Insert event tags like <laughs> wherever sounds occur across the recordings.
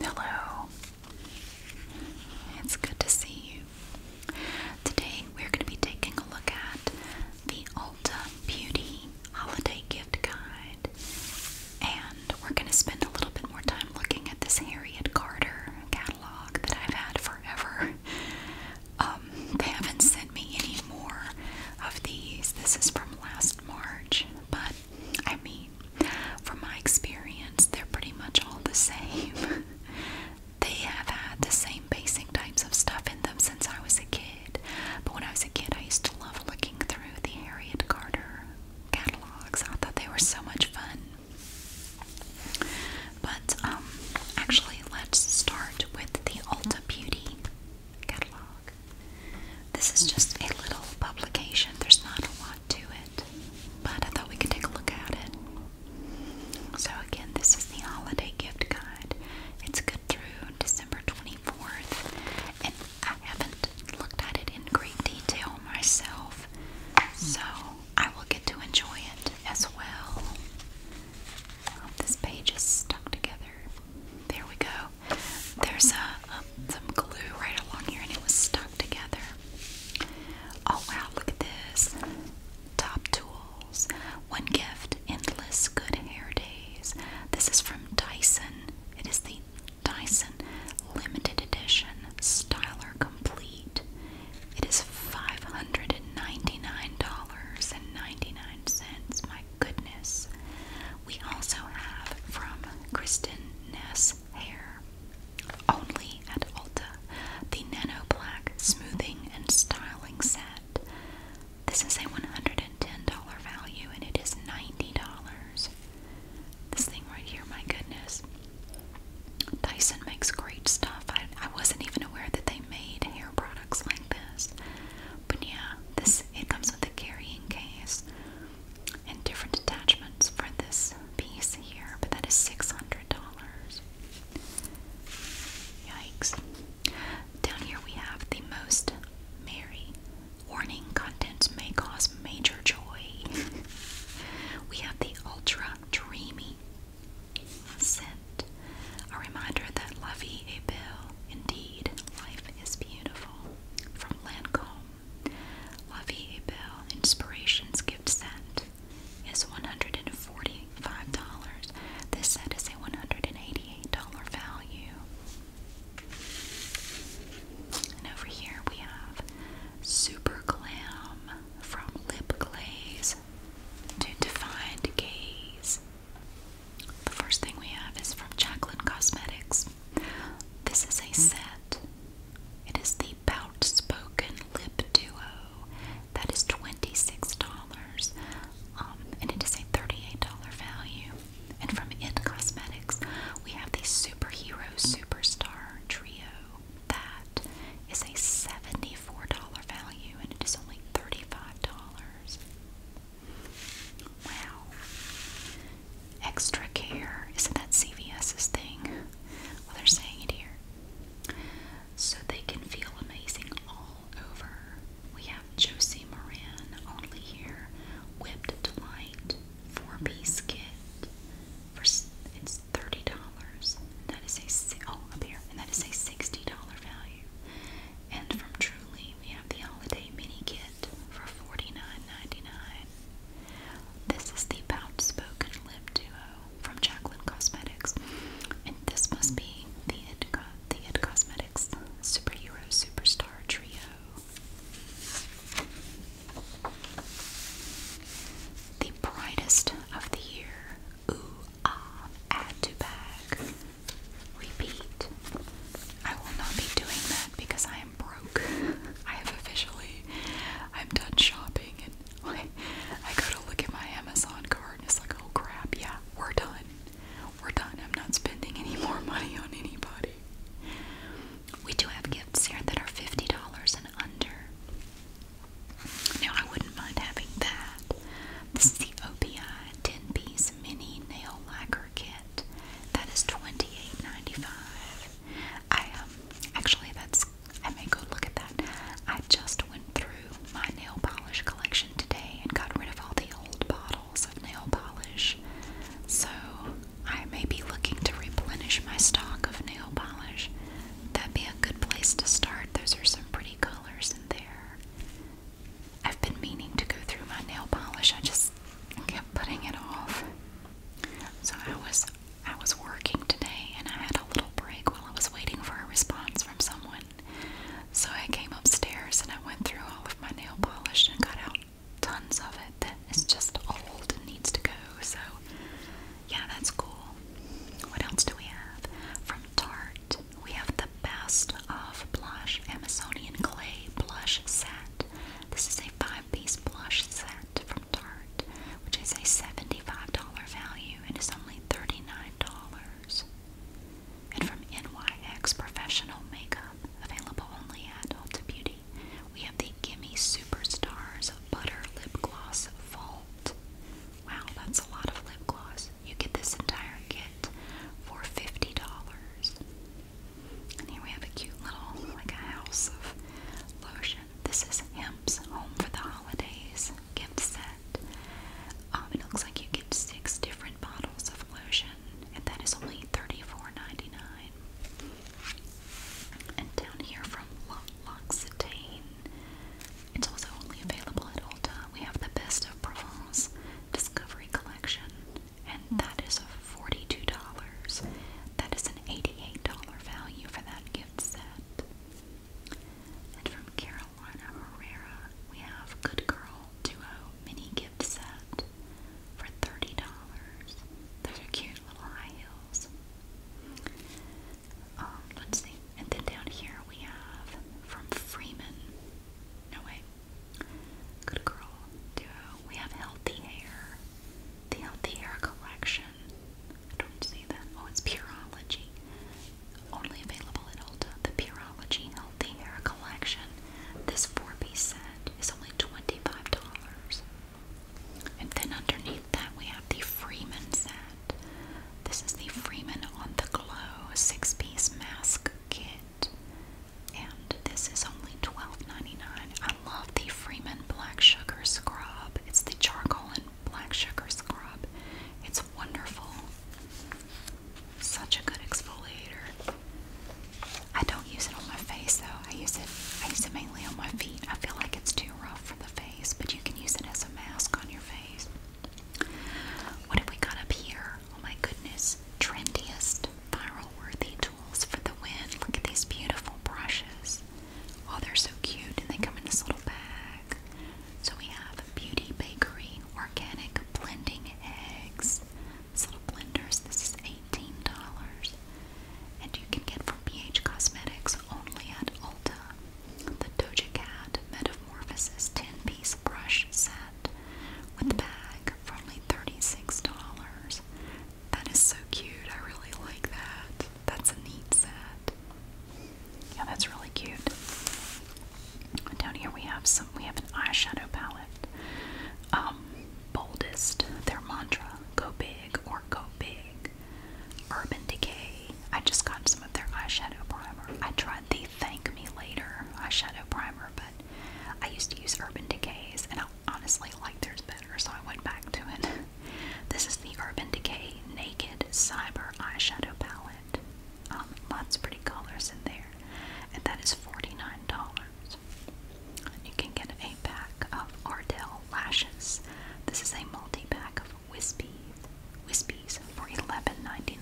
Hello. It's good to see you. Today we're going to be taking a look at the Ulta Beauty Holiday Gift Guide. And we're going to spend a little bit more time looking at this Harriet Carter catalog that I've had forever. <laughs> Um, they haven't sent me any more of these. This is from last March, but I mean, from my experience, they're pretty much all the same. <laughs> they have had the same basic types of stuff in them since I was a kid, but when I was a kid, I used to love looking through the Harriet Carter catalogs. I thought they were so much fun. But um, actually, let's start with the Ulta Beauty catalog. This is just a little publication, there's not a lot to it, but I thought we could take a look at it. So, again, this is the holiday gift guide. It's good through December 24th, and I haven't looked at it in great detail myself, so I will get to enjoy it as well. This page is stuck together. There we go there's a, some glue right along here and it was stuck together. Oh wow, look at this. Top Tools. One gift, endless good hair days. This is from Dyson. It is the Dyson limited edition styler complete. It is $599.99. My goodness. We also have from Kristen Ness Hair, only at Ulta, the Nano Black Smoothing and Styling Set. This is a $110 value and it is $90. This thing right here, my goodness. Dyson makes great stuff. I, I wasn't even aware that they made hair products like this. But yeah, this it comes with a carrying case and different attachments for this piece here, but that is six hundred dollars. Yikes. Down here we have the most merry. Warning contents may cause major joy. <laughs> we have the ultra dreamy scent. A reminder that lovey a bill, indeed, life is beautiful from Lancome. La Vie Belle Inspirations gift set is $145. This set is a $188 value. And over here we have Super Glam from Lip Glaze to Defined Gaze. The first thing we have is from Jacqueline Cosmetics. This is a hmm. set. It is the Bout Spoken Lip Duo. That is $26. Um, and it is a $38 value. And from It Cosmetics, we have the Superhero Superstar Trio. That is a $74 value and it is only $35. Wow. Extra care. Isn't that CVS's thing? Well, they're saying it here. So they can feel amazing all over. We have Josie Moran only here. Whipped Delight four piece kit. For it's thirty dollars. That is a oh up here, and that is a sixty dollar value. And from Truly, we have the holiday mini kit for $49.99. This is the Pout Spoken Lip Duo from Jacqueline Cosmetics. And this must be the It, the it Cosmetics Superhero Superstar Trio. The brightest of the year. Ooh ah add to bag. Repeat. I will not be doing that because I am broke. <laughs> I have officially, I'm done shopping and <laughs> I go to look at my Amazon card and it's like, oh crap, yeah, we're done. We're done. I'm not spending any more money on anybody. We do have gifts here that are $50 and under. Now, I wouldn't mind having that. This is the OPI 10 piece mini nail lacquer kit. That I um actually that's I may go look at that. I just went through my nail polish collection today and got rid of all the old bottles of nail polish. So I may be looking to replenish my stock of nail polish. That'd be a good place to start. Those are some pretty colors in there. I've been meaning to go through my nail polish. I just kept putting it off. So I was I was working today and I had a little break while I was waiting for a response from someone. So I came upstairs and I went through all of my nail polish and got out tons of it that is just old and needs to go. So yeah, that's cool. What else do we have? From Tarte, we have the Best of Blush Amazonian Clay Blush Set. This is a five piece blush set from Tarte, which is a $75 value and is only $39. And from NYX Professional Makeup, available only at Ulta Beauty, we have the Gimme Superstars Butter Lip Gloss Vault. Wow, that's a lot of lip gloss. You get this entire kit for $50. And here we have a cute little, like a house of lotion. This is Hemp's Home for the Holidays gift set. Um, it looks like you get six different bottles of lotion, and that is only 34 And down here from L'Occitane, it's also only available at Ulta. We have the Best of Provence Discovery Collection and that is $42. That is an $88 value for that gift set. And from Carolina Herrera, we have Good Girl Duo Mini Gift Set for $30. Those are cute little high heels. Um, let's see. And then down here we have from Freeman. No, wait. Good Girl Duo. We have Healthy Hair. The Healthy Hair Collection. I don't see that. Oh, it's Purology. Only available at Ulta. The Purology Healthy Hair Collection. This four-piece set is only twenty-five dollars. And then underneath that we have the Freeman set. This is the Freeman on the Glow six-piece mask kit and this is only $12.99. I love the Freeman Black Sugar Scrub. It's the charcoal and black sugar scrub. It's wonderful. Such a good exfoliator. I don't use it on my face though. I use it I use it mainly on my feet. I feel like it's too rough for the face, but you can use it as a mask on your face. What have we got up here? Oh my goodness trendiest viral worthy tools for the win. Look at these beautiful brushes. Oh, they're so cute and they come in this little bag. So we have Beauty Bakery Organic Blending Eggs. little blenders, this is $18. And you can get from BH Cosmetics only at Ulta. The Doja Cat Metamorphosis 10 piece brush set with a bag for only $36. That is so cute. I really like that. That's a neat set. Yeah, that's really cute. Down here we have some we have an eyeshadow palette. Um, boldest, their mantra, go big or go big. Urban Decay. I just got some of their eyeshadow primer. I tried the Thank Me Later eyeshadow primer, but I used to use Urban Decay's, and I honestly like theirs better, so I went back to it. This is the Urban Decay Naked Cyber Eyeshadow Palette. Um, lots of pretty colors in there, and that is $49. You can get a pack of Ardell Lashes. This is a multi pack of wispy, Wispies for $11.99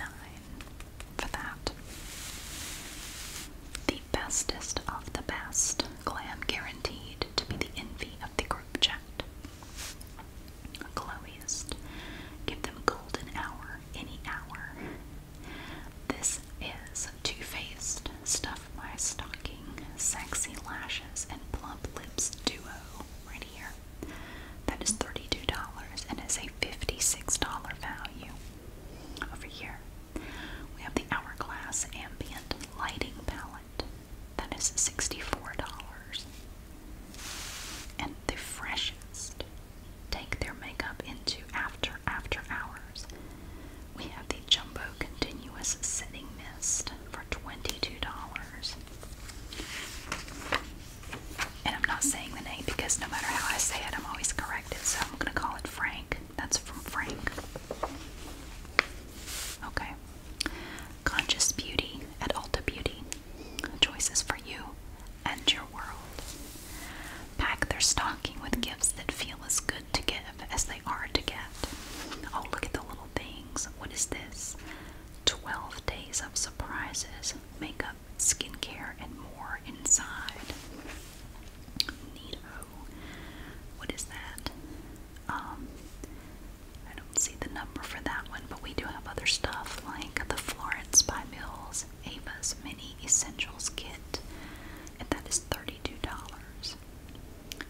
for that. The bestest of the best, glam guaranteed to be the envy of the group chat. Glowiest, give them golden hour any hour. This is 2 Faced, Stuff My Stocking, Sexy Lashes, and Plump Lips Duo right here. That is $32 and is a $56 value. Over here, we have the Hourglass Ambient Lighting Palette. That is $64. And the freshest take their makeup into after after hours. We have the Jumbo Continuous Setting Mist for $22. And I'm not saying the name because no matter how I say it, I'm always corrected, so I'm going to call it Frank. That's from Frank. Okay. Conscious Beauty at Ulta Beauty. Choices for you and your world. Pack their stocking with gifts that feel as good to give as they are to get. Oh, look at the little things. What is this? 12 days of surprises, makeup, skincare, and more inside. Neato. What is that? Um, I don't see the number for that one, but we do have other stuff like the Florence by Mills Ava's Mini Essentials Kit, and that is $32.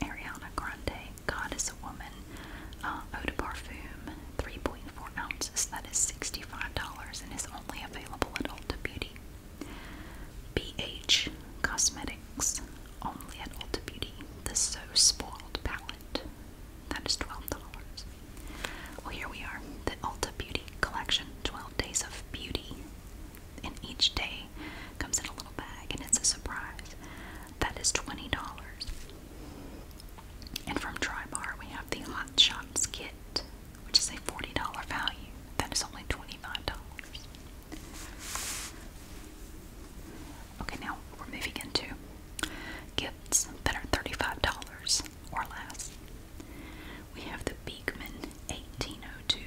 Ariana Grande, God is a Woman, uh, Eau de Parfum, 3.4 ounces, that is $65 and is only available at Ulta Beauty. BH Cosmetics, only at Ulta Beauty, the So Spoiled palette. That is $12. Well, here we are, the Ulta Beauty Collection 12 Days of Beauty. And each day comes in a little bag, and it's a surprise. That is $20. And from Drybar, we have the Hot Shots Kit which is a $40 value that is only $25. Okay, now we're moving into gifts that are $35 or less. We have the Beekman 1802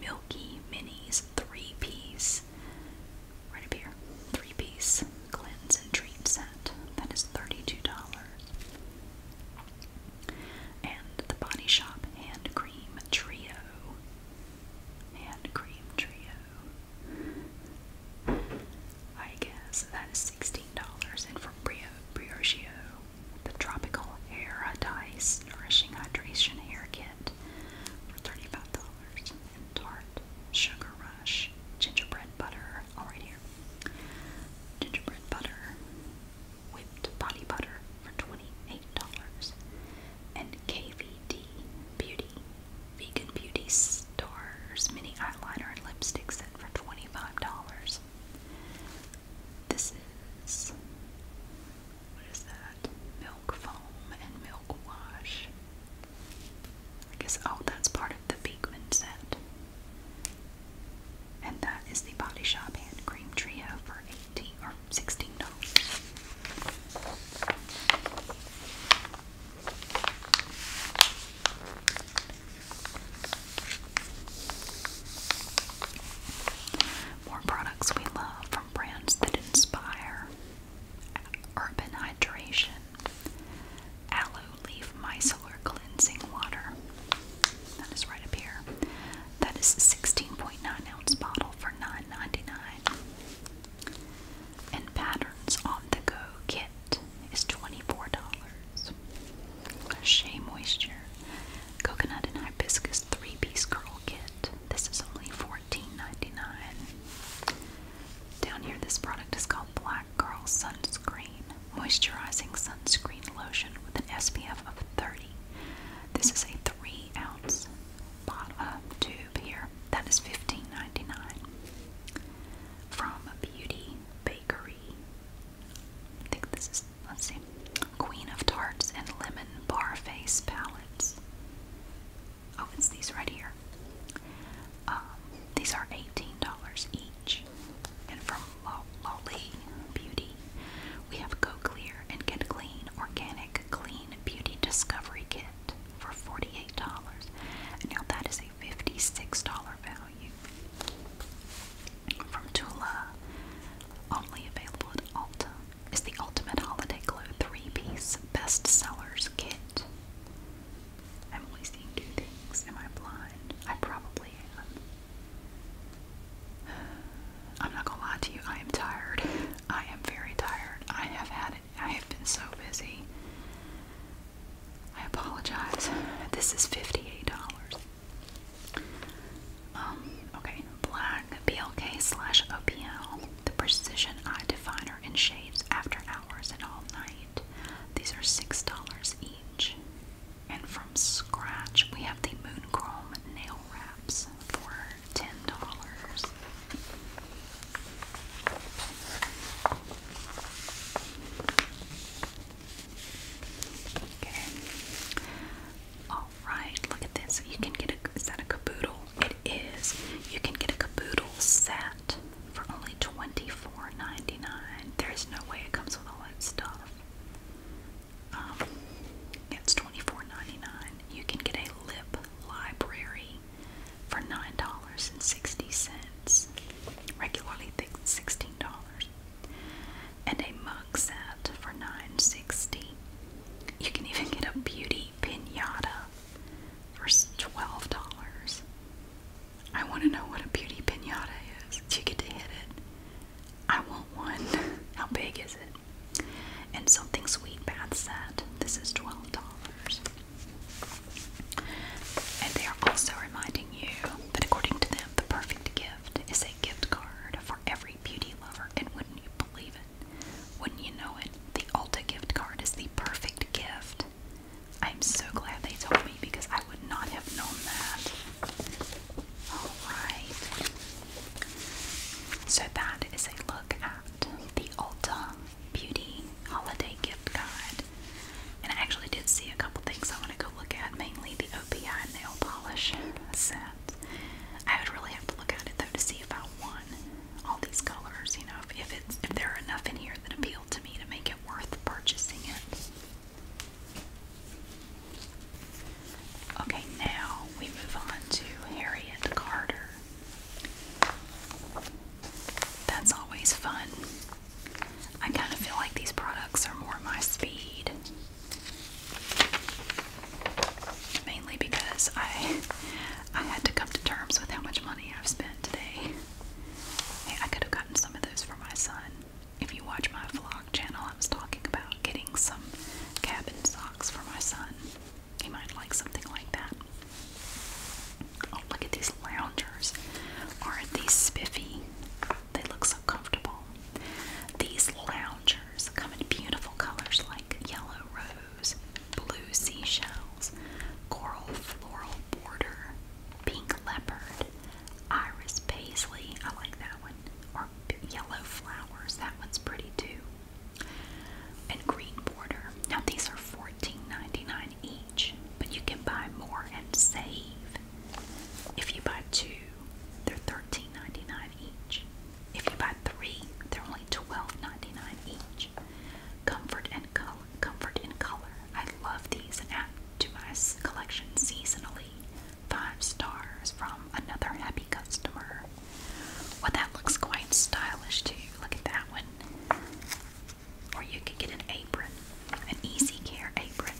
Milky Minis 3 piece, right up here, 3 piece cleans and treat set. That is $32. And the Body Shop Hand Cream Trio. Hand Cream Trio. I guess that is $16. And from Briogeo, the Tropical Hair Dice Nourishing Hydration Hair Kit for $35. And Tart Sugar Rush Gingerbread Butter. All right here. Gingerbread Butter whipped body butter for $28, and KVD Beauty Vegan Beauty Store's Mini Eyeliner and Lipstick Set for $25. This is, what is that? Milk Foam and Milk Wash. I guess, oh, that's part of the Beekman set. And that is the Body Shop hand cream trio for 18 or $16. More products we love from brands that inspire urban hydration. Aloe leaf micellar cleansing water. That is right up here. That is a 16.9 ounce bottle for nine ninety nine. dollars And Patterns on the Go kit is $24. Shea Moisture Coconut and Hibiscus 3 piece curl kit. This is only $14.99. Down here, this product is called Black Girl Sunscreen. Moisturizing sunscreen lotion with an SPF of 30 this is a three ounce bottle, uh, tube here. That is $15.99 from a Beauty Bakery. I think this is, let's see, Queen of Tarts and Lemon Bar Palettes. Oh, it's these right here. Um, these are $18 each. And from Lolly Beauty. We have Go Clear and Get Clean Organic Clean Beauty Discovery Kit for $48. Now that is a $56 value. From Tula, only available at Alta is the Ultimate Holiday Glow 3-Piece Best Sellers Kit. I'm only seeing two Am I blind? I probably am. I'm not gonna lie to you, I am tired. I am very tired. I have had I have been so busy. I apologize. This is $58. Um, okay, black BLK slash OPL, the precision eye definer in shades after hours and all night. These are $6 each. And from scratch, we have the Moon Chrome nail wraps for $10. Okay. All right, look at this. You can get a is that a caboodle? It is. You can get a caboodle set for only 24 There's no way it comes with all that stuff. Um, it's 24 You can get a lip library for $9.60, regularly $16. And a mug set for $9.60. You can even get a beauty pinata for $12. I want to know what a beauty pinata is. You get to hit it I want one. <laughs> How big is it? And something sweet bath said. This is twelve dollars. And they are also reminding you that according to them, the perfect gift is a gift card for every beauty lover. And wouldn't you believe it? Wouldn't you know it? The Ulta gift card is the perfect gift. I'm so glad they told me because I would not have known that. Alright. So that is a look at the Ulta Beauty Holiday Gift Guide. And I actually did see a couple things I want to go look at, mainly the OPI nail polish set. I would really have to look at it though to see if I want all these colors, you know, if, if it's if there are enough in here that appeal to me to make it worth purchasing it. Okay, now we move on to Harriet Carter. That's always fun. I kind of feel like these products are more my speed. Mainly because I I had to come to terms with how much money I've spent today. Hey, I could have gotten some of those for my son if you watch my vlog channel, I was talking about getting some cabin socks for my son. He might like something like that. Oh, look at these loungers. Aren't these spiffy? They look so comfortable. These loungers come in beautiful colors like yellow rose, blue seashells, coral floral border, pink leopard, iris paisley. I like that one. Or yellow flowers. That one's pretty too. And green border. Now these are $14.99 each, but you can buy more and save. If you buy two, they're $13.99 each. If you buy three, they're only $12.99 each. Comfort and color. Comfort in color. I love these and add to my collection seasonally five stars from another happy customer. Well, that looks quite stylish too. Look at that one. Or you could get an apron, an easy care apron.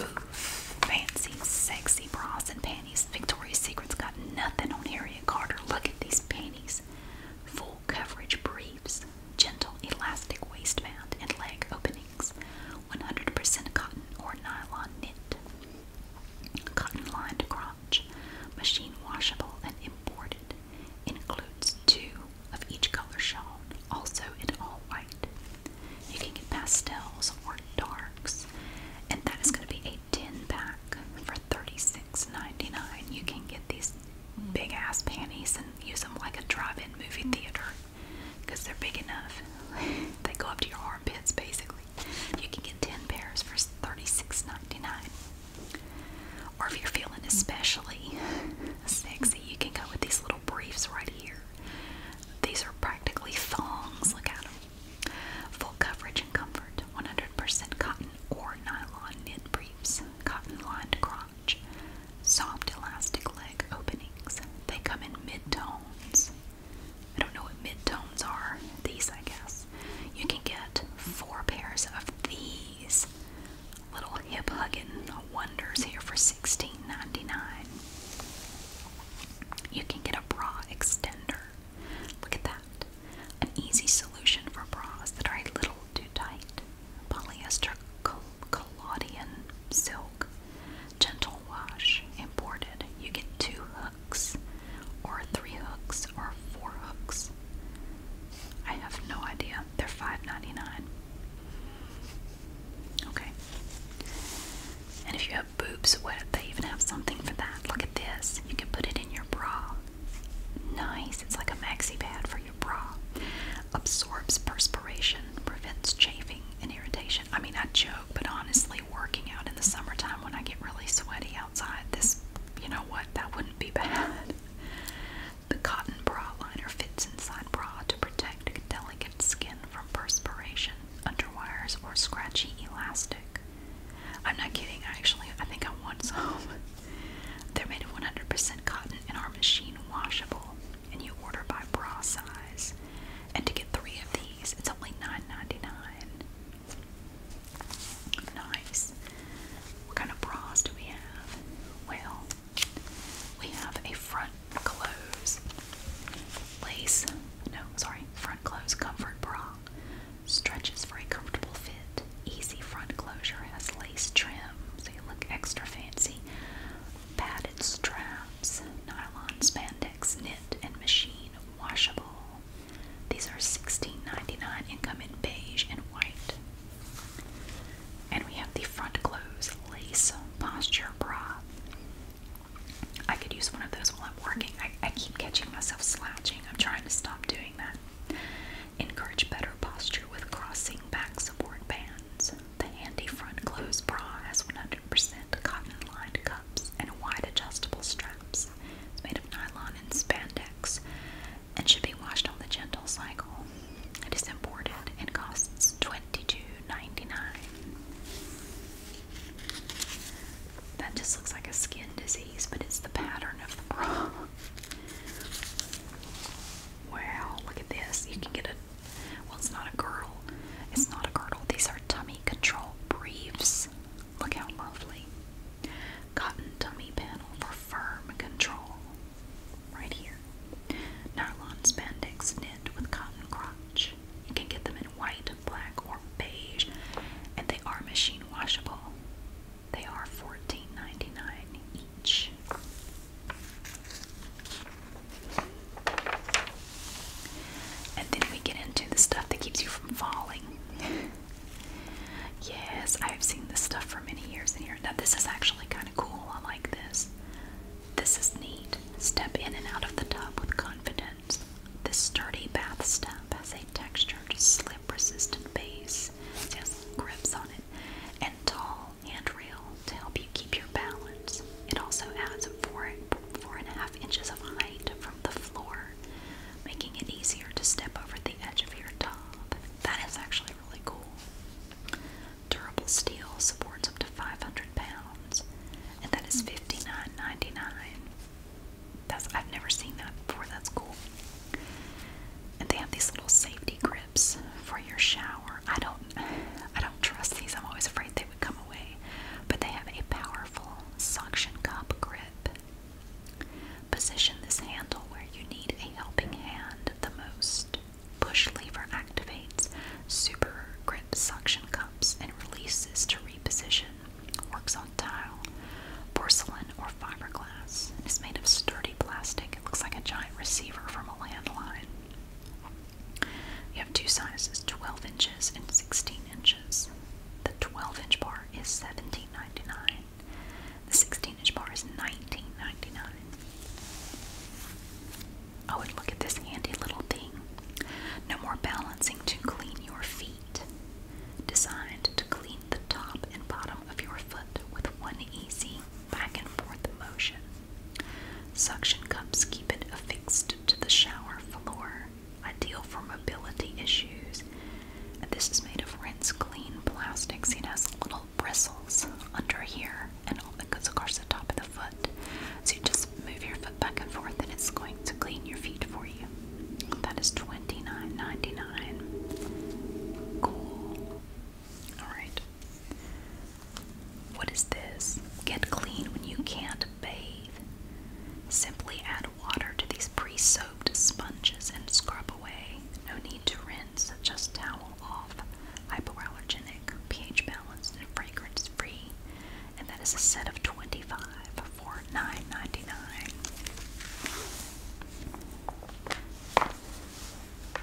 Ooh, fancy, sexy bras and panties. Victoria's Secret's got nothing on Harriet Carter. Look at these panties. Full coverage briefs gentle elastic waistband and leg openings, 100% cotton or nylon knit, cotton lined crotch, machine washable and imported, includes two of each color shown, also in all white. You can get pastels or darks, and that is going to be a 10 pack for 36.99. You can get these big ass panties and use them like a drive-in movie theater because they're big enough. <laughs> they go up to your armpits basically. You can get 10 pairs for $36.99. Or if you're feeling especially sexy, you can go with these little briefs right here. These are practically thongs. Look at them. Full coverage and comfort. 100% cotton or nylon knit briefs. Cotton lined crop. Soft elastic leg openings. They come in mid-tones. I don't know what mid-tones are. These, I guess. You can get four pairs of these little hip-hugging wonders here for $16.99. You can get a bra extender. Look at that. An easy solution for bras that are a little too tight polyester collodion silk, gentle wash, imported. You get two hooks, or three hooks, or four hooks. I have no idea. They're $5.99. Okay. And if you have boobs wet, they even have something for that. Look at this. You can put it in your bra. Nice. It's like a maxi pad for bra, absorbs perspiration, prevents chafing and irritation. I mean, I joke, but honestly, working out in the summertime when I get really sweaty outside, this, you know what, that wouldn't be <laughs> bad. The cotton bra liner fits inside bra to protect delicate skin from perspiration, underwires, or scratchy elastic. I'm not kidding, actually, I think I want some. <laughs> They're made of 100% cotton and are machine washable and you order by bra size. And to get three of these, it's only $9.99. Nice. What kind of bras do we have? Well, we have a front close lace, no, sorry, front close comfort bra. Stretches for a comfortable fit. Easy front closure has lace trims look extra fancy. Padded straps, nylon spandex knit and machine washable. These are $16.99 and come in beige and white. And we have the front close lace posture bra. I could use one of those while I'm working. I keep catching myself slouching. I'm trying to stop doing that. Encourage better posture with crossing back support band. The handy front clothes bra has 100% cotton-lined cups and wide adjustable straps. It's made of nylon and spandex and should be washed on the gentle cycle. It is imported and costs $22.99. That just looks like a skin disease, but it's the pattern of the bra. Wow, look at this. You can get a well it's not a girdle. It's not a girdle. These are tummy control briefs. Look how lovely. Cotton tummy panel for firm control. Right here. Nylon spandex knit with cotton crotch. You can get them in white, black, or beige, and they are machine washable. They are $14.99 and then we get into the stuff that keeps you from falling. <laughs> yes, I've seen this stuff for many years in here. Now, this is actually kind of cool. I like this. This is neat. Step in and out of the tub with confidence. This sturdy bath step has a textured, slip resistant base. It has grips on it and tall and real to help you keep your balance. It also adds and a half inches of height from the floor, making it easier to step over the edge of your top. That is actually really cool. Durable steel supports up to 500 pounds, and that is $59.99. That's I've never seen that before. That's cool. And they have these little safety grips for your shower. I don't I don't trust these. I'm always afraid they would come away. But they have a powerful suction cup grip. Position this handle where you need a helping hand the most. Push lever activates super grip suction cups and releases to reposition. Works on tile, porcelain, or fiberglass. Is made of sturdy plastic it looks like a giant receiver from a landline. You have two sizes, 12 inches and 16 inches. The 12 inch bar is seventeen ninety-nine. The 16 inch bar is nineteen ninety-nine. Oh, and look at this handy little thing. No more balancing to clean your feet. Designed to clean the top and bottom of your foot with one easy back and forth motion. Suction cups keep it affixed to the shower floor, ideal for mobility issues. this is made of rinse clean plastics. It has little bristles under here and all that goes across the top of the foot. So you just move your foot back and forth and it's going to clean your feet for you. That is $29.99. Cool. Alright. What is this? Get clean when you can't bathe. Simply add water to these pre soaped sponges and scrub away. No need to rinse, just towel off. Hypoallergenic, pH balanced, and fragrance free. And that is a set of 25 for 9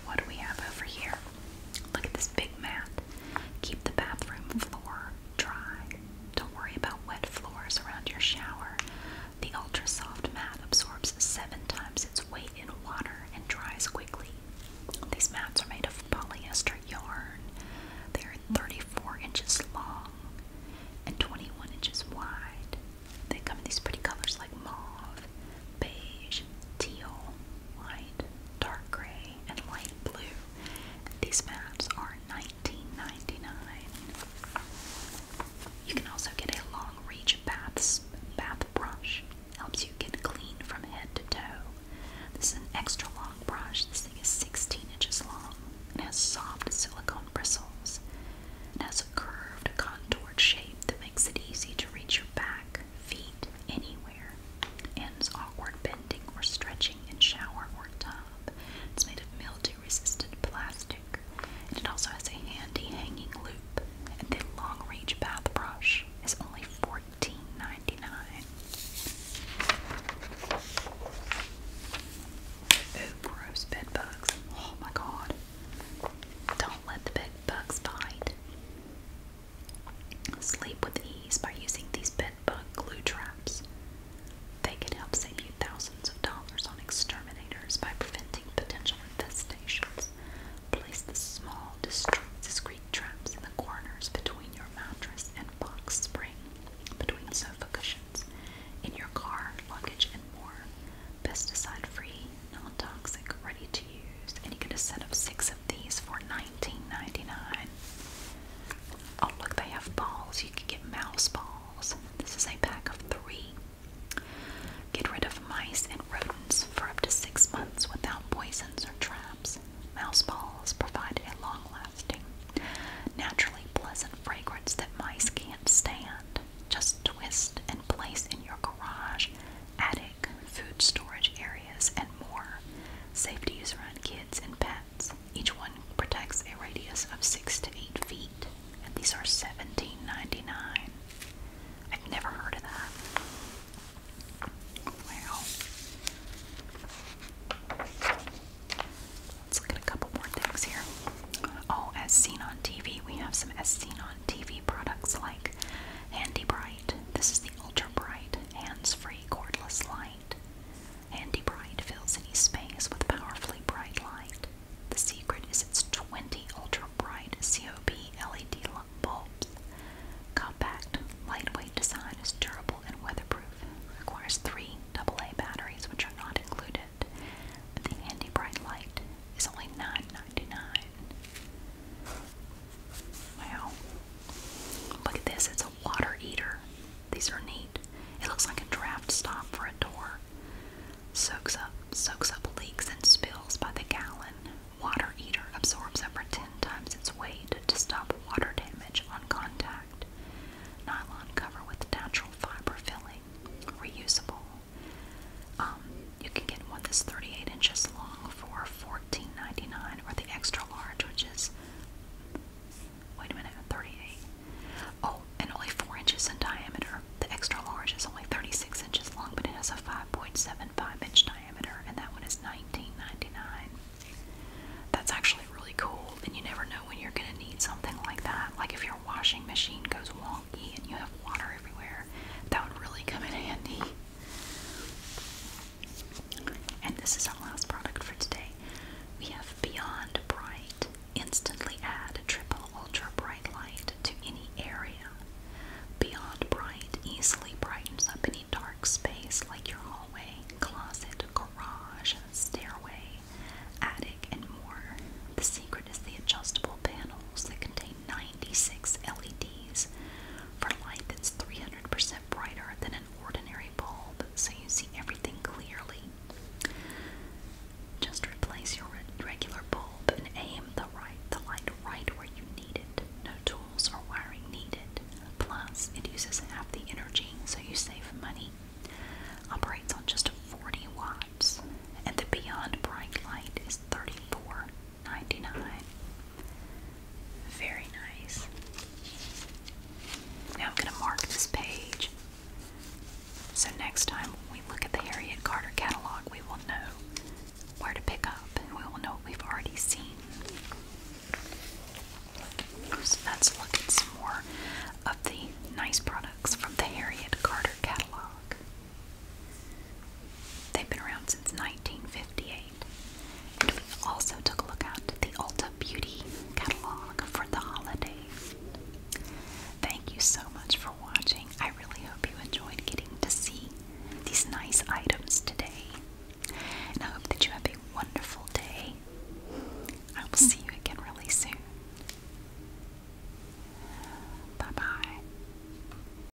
What do we have over here? Look at this big mat. Keep the bathroom floor dry. Don't worry about wet floors around your shower. The ultra soft mat absorbs seven times its weight in water and dries quickly. These mats are made of polyester yarn. They are 34 inches long and 21 inches wide. They come in these pretty colors like mauve beige, teal, light, dark gray, and light blue. These mats are nineteen ninety nine. You can also get a long reach bath, bath brush. Helps you get clean from head to toe. This is an extra long brush. This thing is 16 inches long. and has soft silicone bristles. It has a curved, contoured shape that makes it easy to reach your back, feet anywhere. Ends awkward bending or stretching in shower or tub. It's made of mildew-resistant plastic. And it also has a handy hanging loop. And the long-range bath brush is only $14.99. Ooh, gross bed bugs. Oh my god. Don't let the bed bugs bite. Sleep with ease by using these bedbug glue traps. They can help save you thousands of dollars on exterminators by preventing potential infestations. Place the small, discreet traps in the corners between your mattress and box spring, between sofa cushions, in your car, luggage, and more. Pesticide free non-toxic, ready to use, and you get a set of six of these for $19.99. Oh look, they have balls. You can get mouse balls. This is a pack of three. Get rid of mice and rodents for up to six months without poisons or traps. Mouse balls provide a long-lasting, naturally pleasant fragrance that mice can't stand. Just twist and place in your garage, attic food storage areas, and more. Safety is around kids and pets. Each one protects a radius of 6 to 8 feet, and these are seventeen I've never heard of that. Wow. Let's look at a couple more things here. Oh, as seen on TV, we have some as seen on TV products like Handy Bright. This is the ultra bright, hands-free cordless light. Handy Bright fills any space with powerfully bright light. The secret is its 20 ultra bright COB LED bulbs. Compact, lightweight design is durable and weatherproof. Requires three double A batteries, which are not included. But the Handy Bright light is only $9.99. Wow. Look at this. It's a water eater. These are neat. It looks like a draft stop for a door. Soaks up, soaks up leaks and spills by the gallon. Water eater absorbs up to 10 times its weight to stop water damage on contact. Nylon cover with natural fiber filling. Reusable. Um, you can get one that's 38 inches long for $14.99, or the extra large, which is wait a minute, 38. Oh, and only 4 inches in diameter. The extra large is only 36 inches long, but it has a 5.75 inch diameter, and that one is $19.99. That's actually really cool, and you never know when you're going to need something like that. Like if your washing machine goes wonky and you have water everywhere, that would really come in <laughs> handy. And this is our last product for today. We have Beyond Bright. Instantly add triple ultra bright light to any area. Beyond Bright easily brightens up any dark space like your hallway, closet, garage, stairway, attic, and more. The secret is the adjustable panels that contain 96 LEDs for light that's 300% brighter than an ordinary bulb, so you see everything clearly. Just replace your regular bulb and aim the right the light right where you need it. No tools or wiring needed. Plus, it uses half the energy, so you save money. Operates on just 40 watts, and the Beyond Bright light is 34 99 Very nice. Now I'm going to mark this page. So next time we look at the Harriet Carter catalog, we will know where to pick up and we will know what we've already seen. So let's look at some more of the nice products from the Harriet Carter catalog. They've been around since 1958. And we also took a look at the Ulta Beauty catalog for the holidays. Thank you so much for watching. I really hope you enjoyed getting to see these nice items today. And I hope that you have a wonderful day. I will see you again really soon. Bye bye.